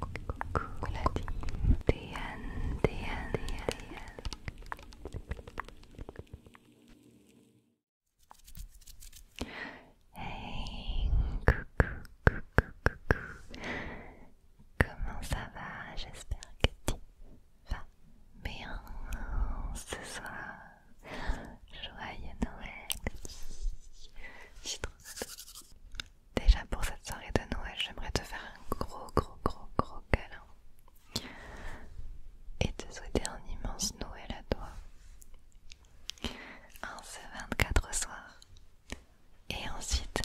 Coucou la team Déane, Déane, Déane Hey, coucou, coucou, coucou Comment ça va J'espère que tu vas bien ce soir Joyeux Noël Je suis trop Déjà pour cette soirée de Noël, j'aimerais te faire un gros, gros, gros, gros câlin et te souhaiter un immense Noël à toi. en ce 24 soir. Et ensuite,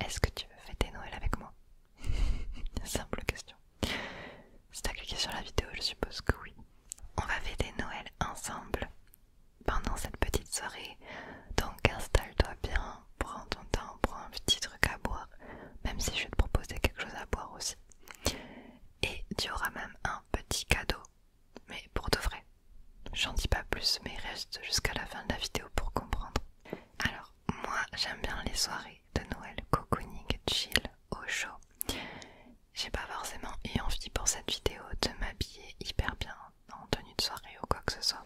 est-ce que tu veux fêter Noël avec moi Simple question. Si as cliqué sur la vidéo, je suppose que oui. On va fêter Noël ensemble pendant cette petite soirée. Donc installe-toi bien, prends ton temps, prends un petit truc à boire, même si je vais te proposer quelque chose à boire aussi. Et tu auras même un petit cadeau, mais pour de vrai. J'en dis pas plus, mais reste jusqu'à la fin de la vidéo pour comprendre. Alors, moi j'aime bien les soirées de Noël, cocooning, chill, au chaud. J'ai pas forcément eu envie pour cette vidéo de m'habiller hyper bien en, tenue de soirée ou quoi que ce soit.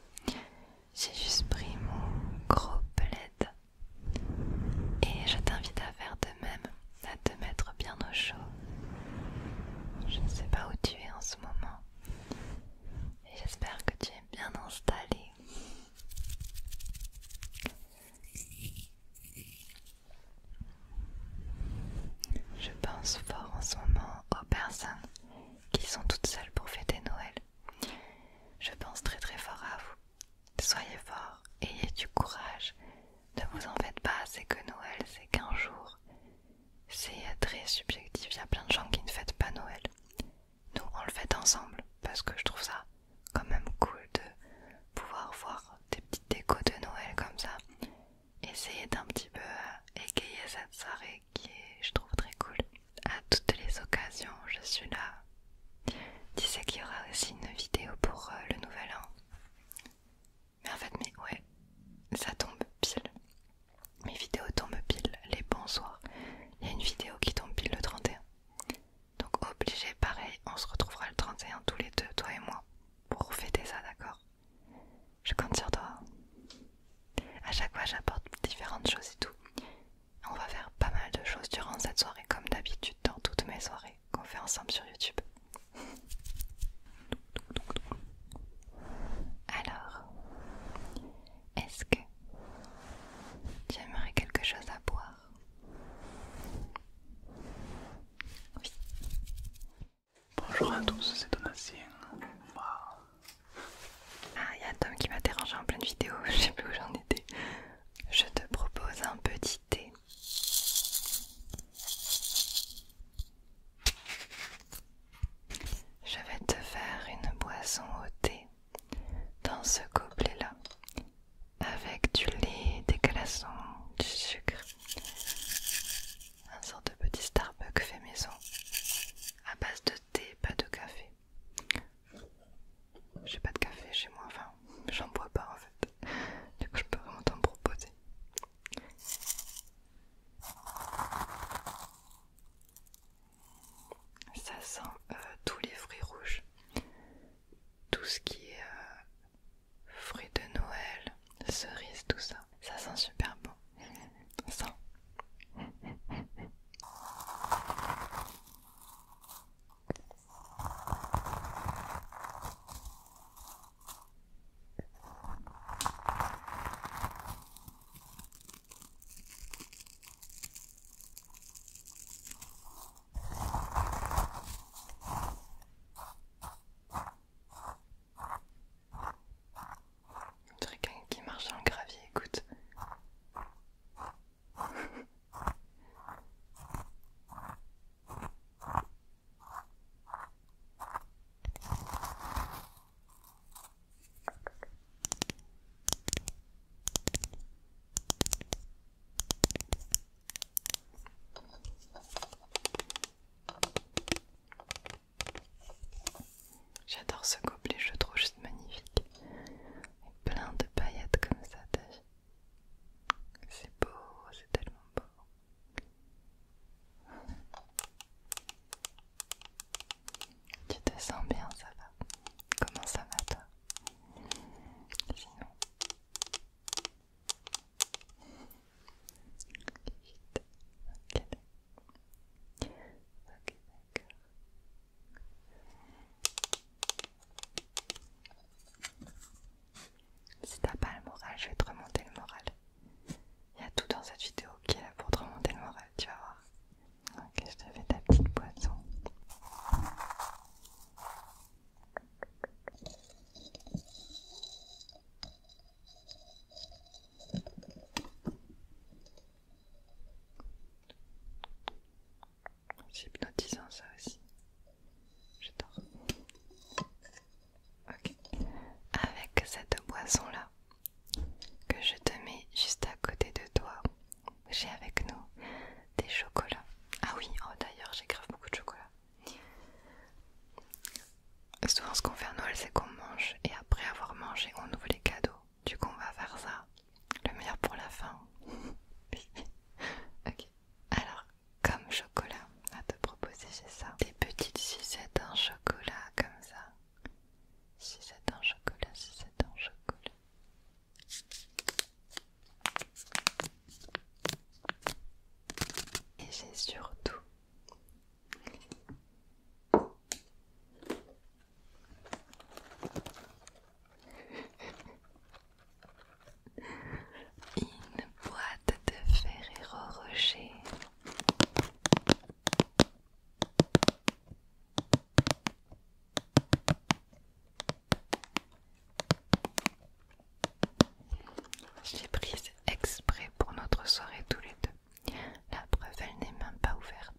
J'ai juste pris mon gros plaid et je t'invite à faire de même, à te mettre bien au chaud. Je ne sais pas où tu es en ce moment. Et j'espère que tu es bien installé. Je pense fort en ce moment aux personnes qui sont toutes seules pour fêter Noël. Je pense très très fort à vous. Soyez forts, ayez du courage. Ne vous en faites pas, c'est que Noël, c'est qu'un jour. C'est très subjectif, il y a plein de gens qui ne fêtent pas Noël. Nous, on le fait ensemble parce que je trouve ça quand même cool de pouvoir voir des petites décos de Noël comme ça essayer d'un petit peu égayer cette soirée qui est, je trouve, très cool. À toutes les occasions, je suis là. Tu sais qu'il y aura aussi une vidéo pour euh, le nouvel an. Mais en fait, mais ouais, ça tombe pile. Mes vidéos tombent pile les bons soirs. Il y a une vidéo qui tombe pile le 31. Donc obligé, pareil, on se retrouvera le 31 tous les deux, toi et moi, pour fêter ça, d'accord je compte sur toi. À chaque fois, j'apporte différentes choses et tout. On va faire pas mal de choses durant cette soirée, comme d'habitude dans toutes mes soirées qu'on fait ensemble sur YouTube. Alors, est-ce que tu aimerais quelque chose à boire Oui. Bonjour à tous, c'est Donatien. Ah, il y a Tom qui m'a dérangé en pleine vidéo, je sais plus où j'en étais. Je te propose un petit thé. Je vais te faire une boisson au thé dans ce gobelet-là, avec du lait, des glaçons, du sucre un sorte de petit Starbucks fait maison à base de thé, pas de café. J'ai pas de café chez moi, enfin, j'en bois pas en fait. Du coup, je peux vraiment t'en proposer. Ça sent euh, tous les fruits rouges, tout ce qui est euh, fruits de Noël, cerise, tout ça. Ça sent super bon. Ça. qui marche en gravier, écoute. J'adore ce gobelet, je le trouve juste magnifique. plein de paillettes comme ça, C'est beau, c'est tellement beau. Tu te sens bien, ça va Comment ça va toi Sinon si t'as pas le moral, je vais te remonter le moral. Il y a tout dans cette vidéo qui est là pour te remonter le moral, tu vas voir. Ok, je te fais ta petite boisson. C'est hypnotisant ça aussi. J'adore. Ok. Avec cette boisson là que je te mets juste à côté de toi, j'ai avec nous des chocolats. Ah oui, oh, d'ailleurs j'ai grave beaucoup de chocolat souvent ce qu'on fait à Noël c'est qu'on mange et après avoir mangé on ouvre les cadeaux. Du coup on va faire ça. Le meilleur pour la fin. ok. Alors comme chocolat à te proposer j'ai ça. Des petites sucettes en chocolat comme ça. Sucettes en chocolat, sucettes en chocolat. Et j'ai surtout une boîte de Ferrero Rocher. J'ai prise exprès pour notre soirée tous les deux. La preuve, elle n'est même pas ouverte.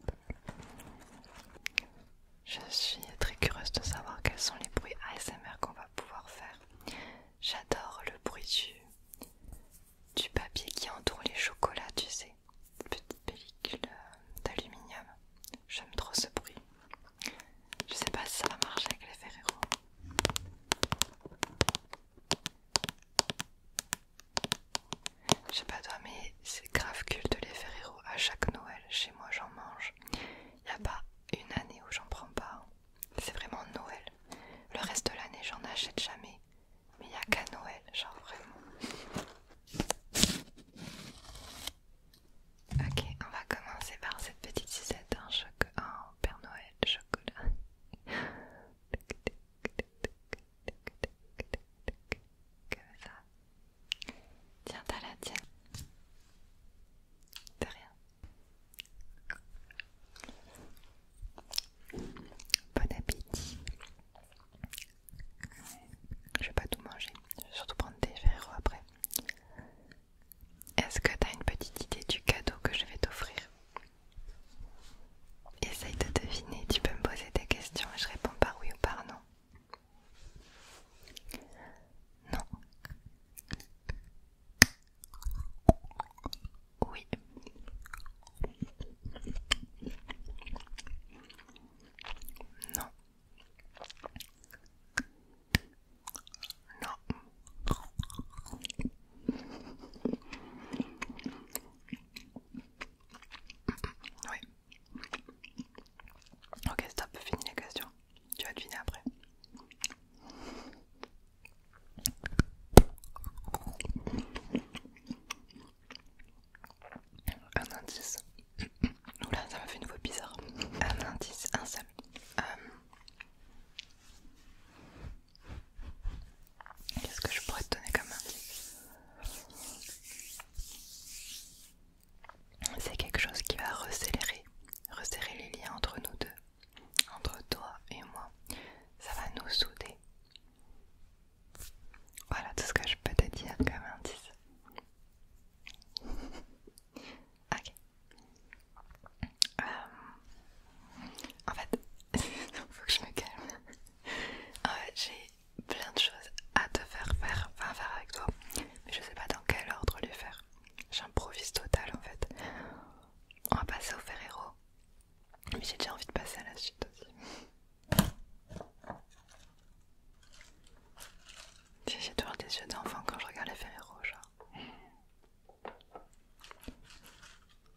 Je suis très curieuse de savoir quels sont les bruits ASMR qu'on va pouvoir faire. J'adore le bruit du, papier qui entoure les chocolats, tu sais. Petite pellicule euh, d'aluminium. J'aime trop ce bruit. Je sais pas si ça va marcher avec les Ferrero. Je sais pas toi, mais c'est grave culte les Ferrero à chaque Noël. Chez moi, j'en mange. Il n'y a pas une année où j'en prends pas. Hein. C'est vraiment Noël. Le reste de l'année, j'en achète jamais. Mais il n'y a qu'à Noël, genre vraiment. Ok, on va commencer par cette petite cisette, un, hein. un Père Noël chocolat. Tiens, t'as la tienne. De rien. Bon appétit. Je vais pas tout manger. Je vais surtout prendre des verres après. Est-ce que t'as une petite idée du cadeau que je vais t'offrir Essaye de deviner, tu peux me poser des questions et je réponds par oui ou par non. Non. Oui. Non. Non. Oui. Ok, stop, fini les questions. Tu vas deviner après. Un indice. Oula, ça m'a fait une voix bizarre. Un indice, un seul. Euh, Qu'est-ce que je pourrais te donner comme indice C'est quelque chose qui va resserrer, resserrer les liens entre nous deux, entre toi et moi. Ça va nous souder. Voilà tout ce que je peux te dire comme indice. ok. Euh, en fait, faut que je me calme. En fait, j'ai plein de choses à te faire faire, faire avec toi, mais je sais pas dans quel ordre les faire. J'improvise total en fait. On va passer au Ferrero, mais j'ai déjà envie de passer à la suite aussi. J'ai toujours des yeux d'enfant quand je regarde les Ferrero, genre.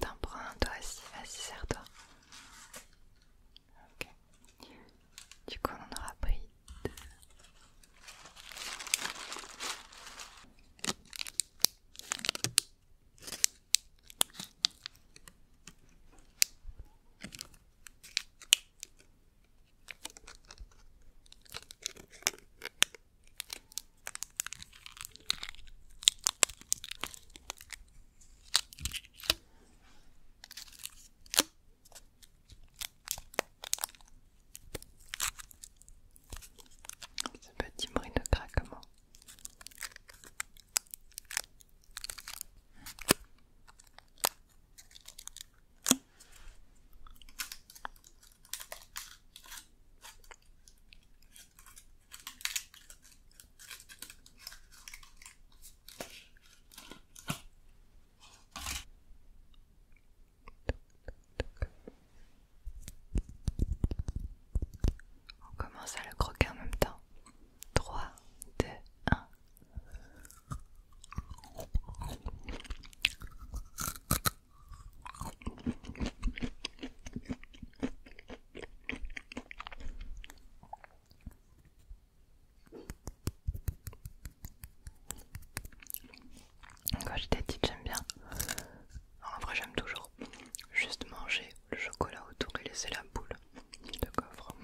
T'en prends un, toi aussi, vas-y, serre-toi. Du coup, on aura pris deux. Ce petit bruit de craquement. On commence à le croquer en même temps. 3, 2, 1. Quand j'étais petite, j'aime bien. En vrai, j'aime toujours juste manger le chocolat autour et laisser la boule de coffre.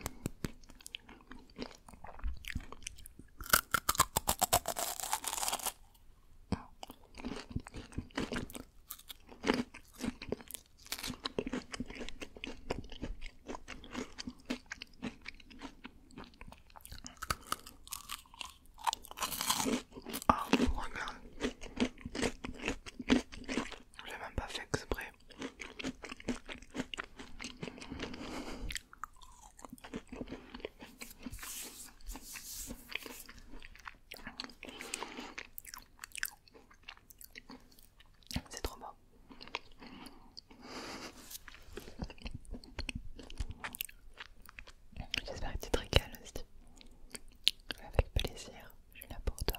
Ah, regarde. Je l'ai même pas fait exprès. C'est trop bon. J'espère que tu te régales aussi. Avec plaisir, je suis là pour toi.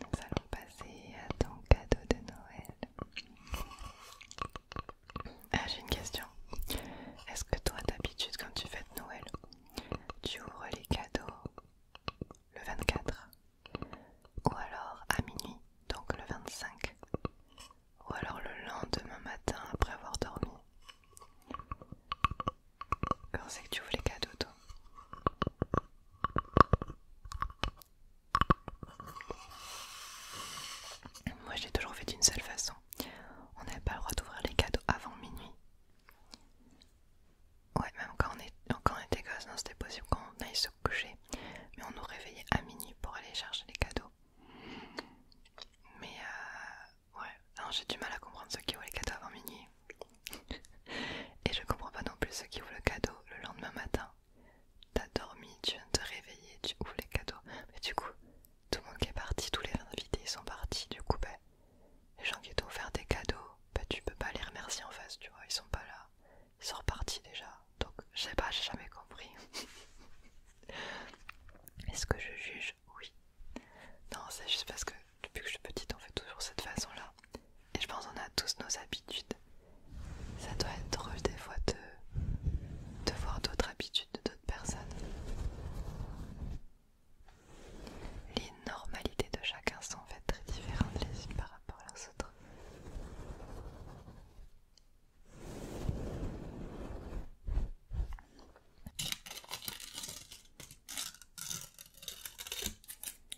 Nous allons passer à ton cadeau de Noël. Ah, j'ai une question. Est-ce que toi, d'habitude, quand tu fêtes Noël, tu ouvres les cadeaux le 24 ou alors à minuit, donc le 25 ou alors le lendemain matin après avoir dormi Quand c'est que tu ouvres les cadeaux, toi moi, j'ai toujours fait d'une seule façon. On n'avait pas le droit d'ouvrir les cadeaux avant minuit. Ouais, même quand on, est, quand on était gosse, c'était possible qu'on aille se coucher. Mais on nous réveillait à minuit pour aller chercher les cadeaux. Mais euh, ouais, j'ai du mal à comprendre ceux qui ouvrent les cadeaux avant minuit. Et je comprends pas non plus ceux qui ouvrent le cadeau le lendemain matin. T'as dormi, tu viens de te réveiller, tu ouvres les cadeaux. Mais du coup, tout le monde qui est parti, tous les invités sont partis. Du coup, bah, les gens qui t'ont offert des cadeaux, bah, tu peux pas les remercier en face, tu vois. Ils sont pas là. Ils sont repartis déjà. Donc, je sais pas, j'ai jamais compris. Est-ce que je juge Oui. Non, c'est juste parce que depuis que je suis petite, on fait toujours cette façon-là. Et je pense qu'on a tous nos habitudes. Ça doit être drôle des fois de, voir d'autres habitudes de d'autres personnes. Les normalités de chacun sont en fait très différentes les unes par rapport aux autres.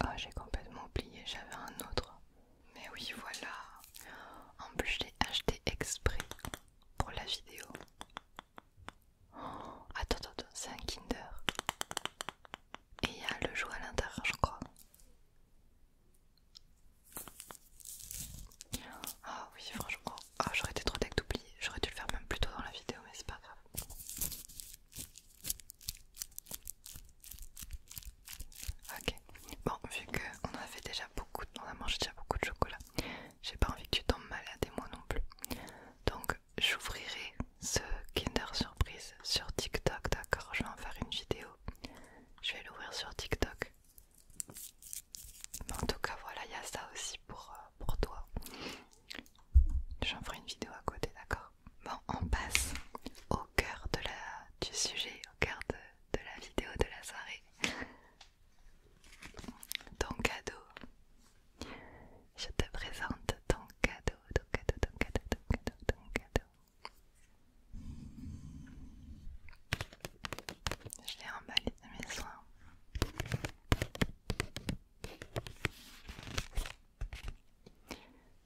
Ah, j'ai complètement oublié, j'avais un autre. Mais oui, voilà. En plus, je l'ai acheté exprès pour la vidéo. Oh, attends, attends, attends c'est un Kinder. Et il y a le jouet à l'intérieur, je crois. Ah oui, franchement. ah j'aurais été trop tech d'oublier. J'aurais dû le faire même plus tôt dans la vidéo, mais c'est pas grave. Ok, bon, vu qu'on a fait déjà beaucoup, on a mangé déjà beaucoup de chocolat, j'ai pas envie que tu tombes malade et moi non plus. Donc j'ouvrirai ce Kinder Surprise sur TikTok, d'accord Je vais en faire une vidéo. Je vais l'ouvrir sur TikTok. Mais en tout cas, voilà, il y a ça aussi pour, euh, pour toi. J'en ferai une vidéo à côté, d'accord Bon, on passe au cœur de la, du sujet, au cœur de, de la vidéo de la soirée ton cadeau. Je te présente ton cadeau, ton cadeau, ton cadeau, ton cadeau, ton cadeau. Je l'ai emballé de mes soins.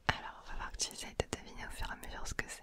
Alors, on va voir que tu essayes de deviner au fur et à mesure ce que c'est.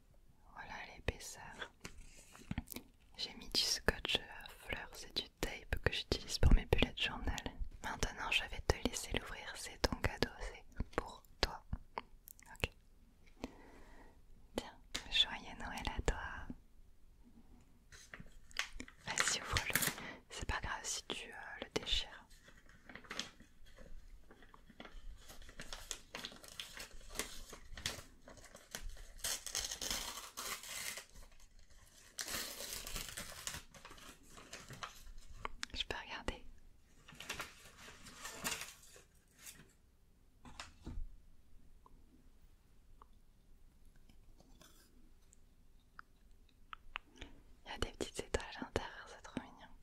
Voilà l'épaisseur. J'ai mis du scotch à fleurs c'est du tape que j'utilise pour mes de journal. Maintenant, je vais te laisser l'ouvrir. C'est ton cadeau, c'est pour toi. Ok. Bien, joyeux Noël à toi. Vas-y, ouvre-le. C'est pas grave si tu euh, le déchires. Je peux regarder. Il y a des petites étages à l'intérieur, c'est trop mignon.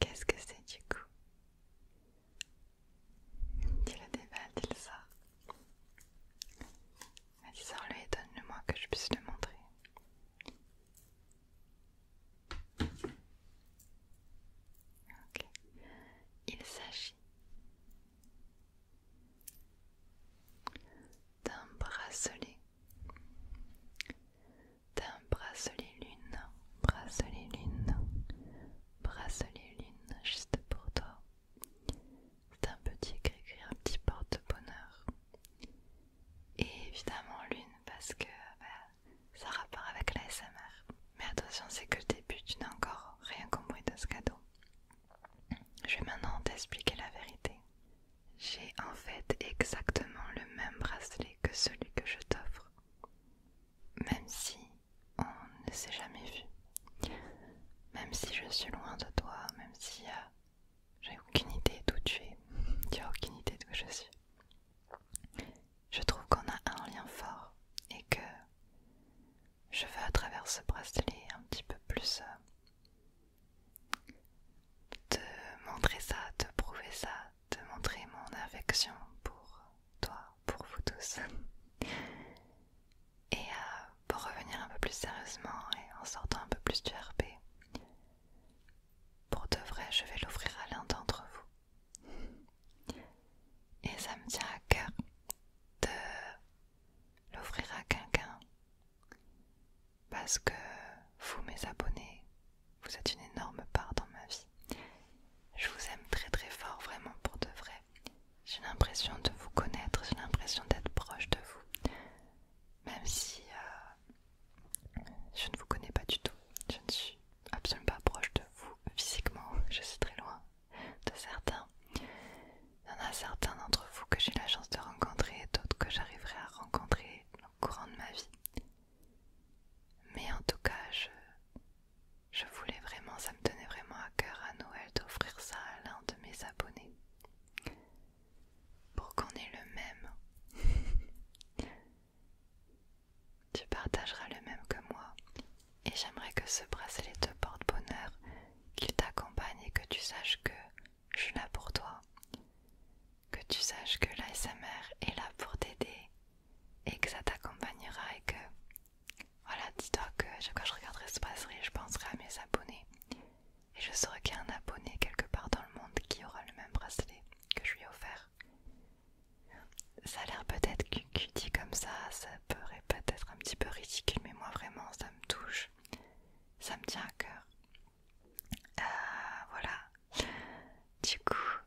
Qu'est-ce que c'est du coup Tu le débat, le sors. Vas-y, le donne-le-moi que je puisse le montrer. Il s'agit d'un bracelet d'un bracelet lune, bracelet lune, bracelet lune, juste pour toi. C'est un petit gris un petit porte-bonheur. Et évidemment lune parce que bah, ça rapport avec la SMR. Mais attention, c'est que le début, tu n'as encore rien compris de ce cadeau. Je vais maintenant t'expliquer la vérité. J'ai en fait exactement le même bracelet que celui que je t'offre, même si on ne s'est jamais vu, même si je suis loin de toi, même si euh, j'ai aucune idée d'où tu es, tu as aucune idée d'où je suis. Je trouve qu'on a un lien fort et que je veux à travers ce bracelet un petit peu plus euh, te montrer ça, te prouver ça, de montrer mon affection pour toi, pour vous tous. Et euh, pour revenir un peu plus sérieusement et en sortant un peu plus du RP, pour de vrai, je vais l'offrir à l'un d'entre vous. Et ça me tient à cœur de l'offrir à quelqu'un parce que vous, mes abonnés, vous êtes une énorme part dans ma vie. Je vous aime très très fort, vraiment pour de vrai. J'ai l'impression de vous connaître, j'ai l'impression d'être proche de vous. Même si euh, je ne vous connais pas du tout. Je ne suis absolument pas proche de vous physiquement. Je suis très loin de certains. Il y en a certains d'entre vous que j'ai la chance de rencontrer et d'autres que j'arriverai à rencontrer au courant de ma vie. Mais en tout cas, je, voulais vraiment, ça me tenait vraiment à cœur à Noël d'offrir ça à l'un de mes abonnés. Pour qu'on ait le même. tu partageras le même que moi. Et j'aimerais que ce les deux porte bonheur, qu'il t'accompagne et que tu saches que je suis là pour toi que tu saches que l'ASMR est là pour t'aider et que ça t'accompagnera et que voilà, dis-toi que chaque fois que je regarderai ce brasserie, je penserai à mes abonnés et je saurai qu'il y a un abonné quelque part dans le monde qui aura le même bracelet que je lui ai offert. Ça a l'air peut-être dit comme ça, ça pourrait peut-être un petit peu ridicule, mais moi vraiment ça me touche, ça me tient à cœur. Euh, voilà. Du coup,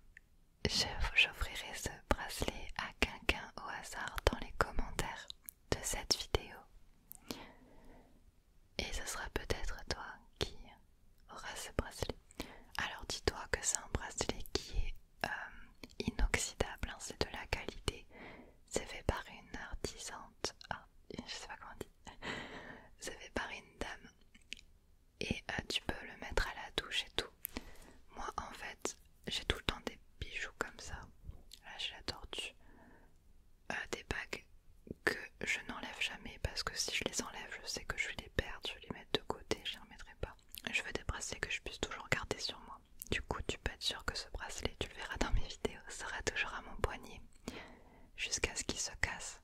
j'offrirai ce bracelet à quelqu'un au hasard dans les commentaires de cette vidéo. Et ce sera peut-être toi qui auras ce bracelet. Alors dis-toi que c'est un bracelet qui est euh, inoxydable, hein, c'est de la qualité. C'est fait par une artisante, ah, je sais pas comment on c'est fait par une dame et euh, tu peux le mettre à la douche et tout. Moi en fait j'ai tout le temps des bijoux comme ça. Là j'ai la tortue. Euh, des bagues que je n'enlève jamais parce que si je les enlève je sais que je vais les perdre, je vais les mettre de côté, je ne les remettrai pas. Je veux des bracelets que je puisse toujours garder sur moi. Du coup tu peux être sûr que ce bracelet, tu le verras dans mes vidéos, sera toujours à mon poignet jusqu'à ce qu'il se casse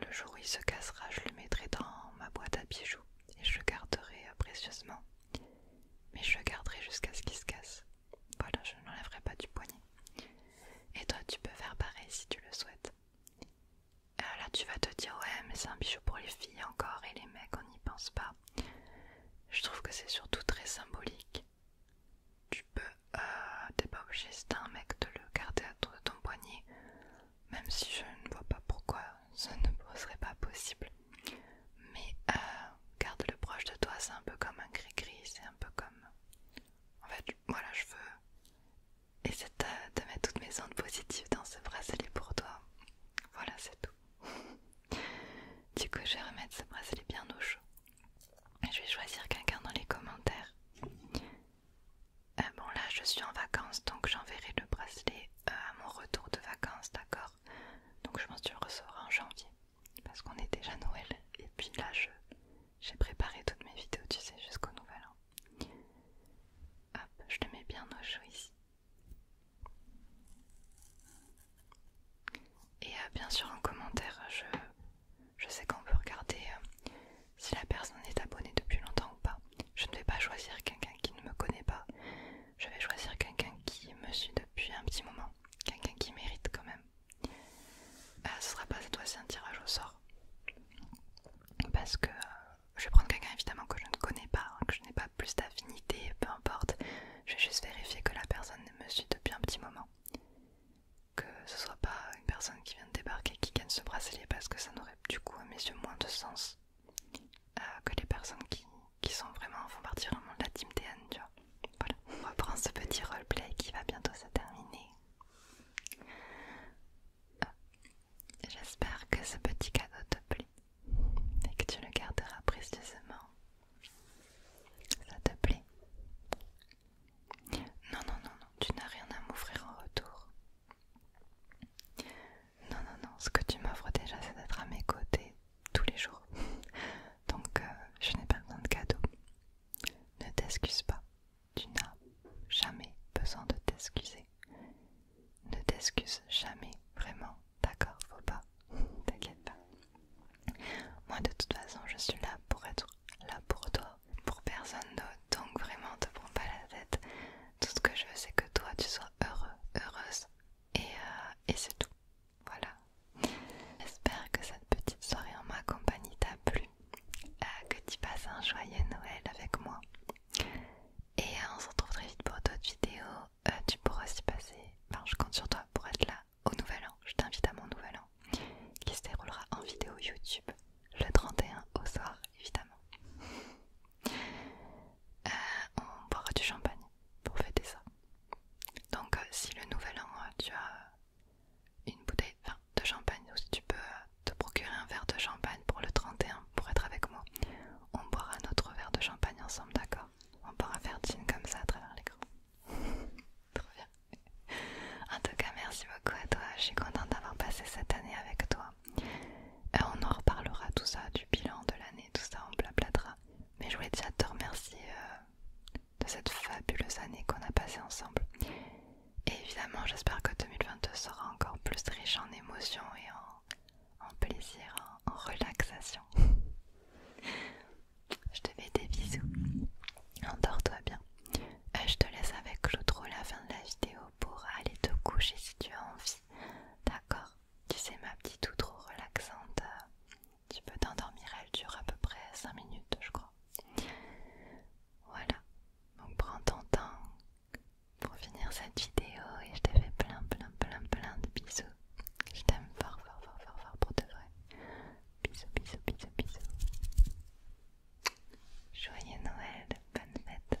le jour où il se cassera, je le mettrai dans ma boîte à bijoux et je le garderai euh, précieusement. Mais je le garderai jusqu'à ce qu'il se casse. Voilà, je n'enlèverai pas du poignet. Et toi, tu peux faire pareil si tu le souhaites. Alors euh, là, tu vas te dire, ouais, mais c'est un bijou pour les filles encore et les mecs, on n'y pense pas. Je trouve que c'est surtout très symbolique. Tu peux, euh, t'es pas obligé, si un mec, de le garder à toi de ton poignet même si je ne vois pas pourquoi ce ne serait pas possible. Mais euh, garde-le proche de toi, c'est un peu comme un gris-gris, c'est un peu comme... En fait, voilà, je veux essayer de, de mettre toutes mes ondes positives dans ce bracelet pour toi. Voilà, c'est tout. du coup, je vais remettre ce bracelet bien au chaud. Je vais choisir quelqu'un dans les commentaires euh, bon là je suis en vacances donc j'enverrai le bracelet euh, à mon retour de vacances, d'accord Donc je pense que tu le en janvier parce qu'on est déjà Noël et puis là je j'ai préparé toutes mes vidéos tu sais jusqu'au nouvel an. Hop, je te mets bien au chaud ici. Et euh, bien sûr en commentaire je je sais qu'on peut regarder euh, si la personne est abonnée depuis longtemps ou pas. Je ne vais pas choisir quelqu'un qui ne me connaît pas. Je vais choisir quelqu'un qui me suit depuis un petit moment. Quelqu'un qui mérite quand même. Ce euh, ce sera pas cette fois-ci un tirage au sort. Parce que euh, je vais prendre quelqu'un évidemment que je ne connais pas, hein, que je n'ai pas plus d'affinité, peu importe. Je vais juste vérifier que la personne me suit depuis un petit moment que ce soit pas une personne qui vient de débarquer qui gagne ce bracelet parce que ça n'aurait du coup à mes yeux moins de sens euh, que les personnes qui, sont vraiment font partie vraiment de la team TN tu vois voilà on reprend ce petit roleplay qui va bientôt se terminer euh, j'espère que ce petit cadeau te plaît et que tu le garderas précieusement ça te plaît non, non, non, non, tu n'as rien à m'offrir en retour. Non, non, non, ce que tu m'offres déjà, c'est d'être à mes côtés tous les jours. Donc, euh, je n'ai pas besoin de cadeaux. Ne t'excuse pas, tu n'as jamais besoin de t'excuser. Ne t'excuse jamais, vraiment, d'accord Faut pas, t'inquiète pas. Moi, de toute façon, je suis là pour être là pour toi, pour personne d'autre. Donc vraiment, te prends pas la tête. Tout ce que je veux, c'est que toi, tu sois heureux, heureuse. Et, euh, c'est tout. Voilà. J'espère que cette petite soirée en ma compagnie t'a plu. Euh, que tu passes un joyeux Noël avec moi. Et euh, on se retrouve très vite pour d'autres vidéos. tu pourras aussi passer. je compte sur toi pour être là au nouvel an. Je t'invite à mon nouvel an qui se déroulera en vidéo YouTube le 31 au soir, évidemment. Euh, on boira du champagne pour fêter ça. Donc, euh, si le nouvel an, euh, tu as une bouteille de champagne, ou si tu peux te procurer un verre de champagne pour le 31 pour être avec moi, on boira notre verre de champagne ensemble, d'accord On pourra faire jean comme ça à travers l'écran. Trop bien. En tout cas, merci beaucoup à toi. Je suis contente d'avoir passé cette année avec toi. Euh, on en reparlera tout ça, du bilan de l'année, tout ça, on blablatera. Mais je voulais déjà te remercier euh, de cette fabuleuse année qu'on a passée ensemble. Et évidemment, j'espère que 2022 sera encore plus riche en émotions et en, plaisir, en, relaxation. je te fais des bisous. Endors-toi bien. Euh, je te laisse avec l'outro la fin de la vidéo pour aller te coucher si tu as envie. D'accord Tu sais, ma petite outro relaxante, euh, tu peux t'endormir, elle dure à peu près 5 minutes, je crois. Voilà, donc prends ton temps pour finir cette vidéo et je te fais plein, plein, plein, plein de bisous. Je t'aime fort, fort, fort, fort, fort pour de vrai. Bisous, bisous, bisous, bisous. Joyeux Noël, bonne fête.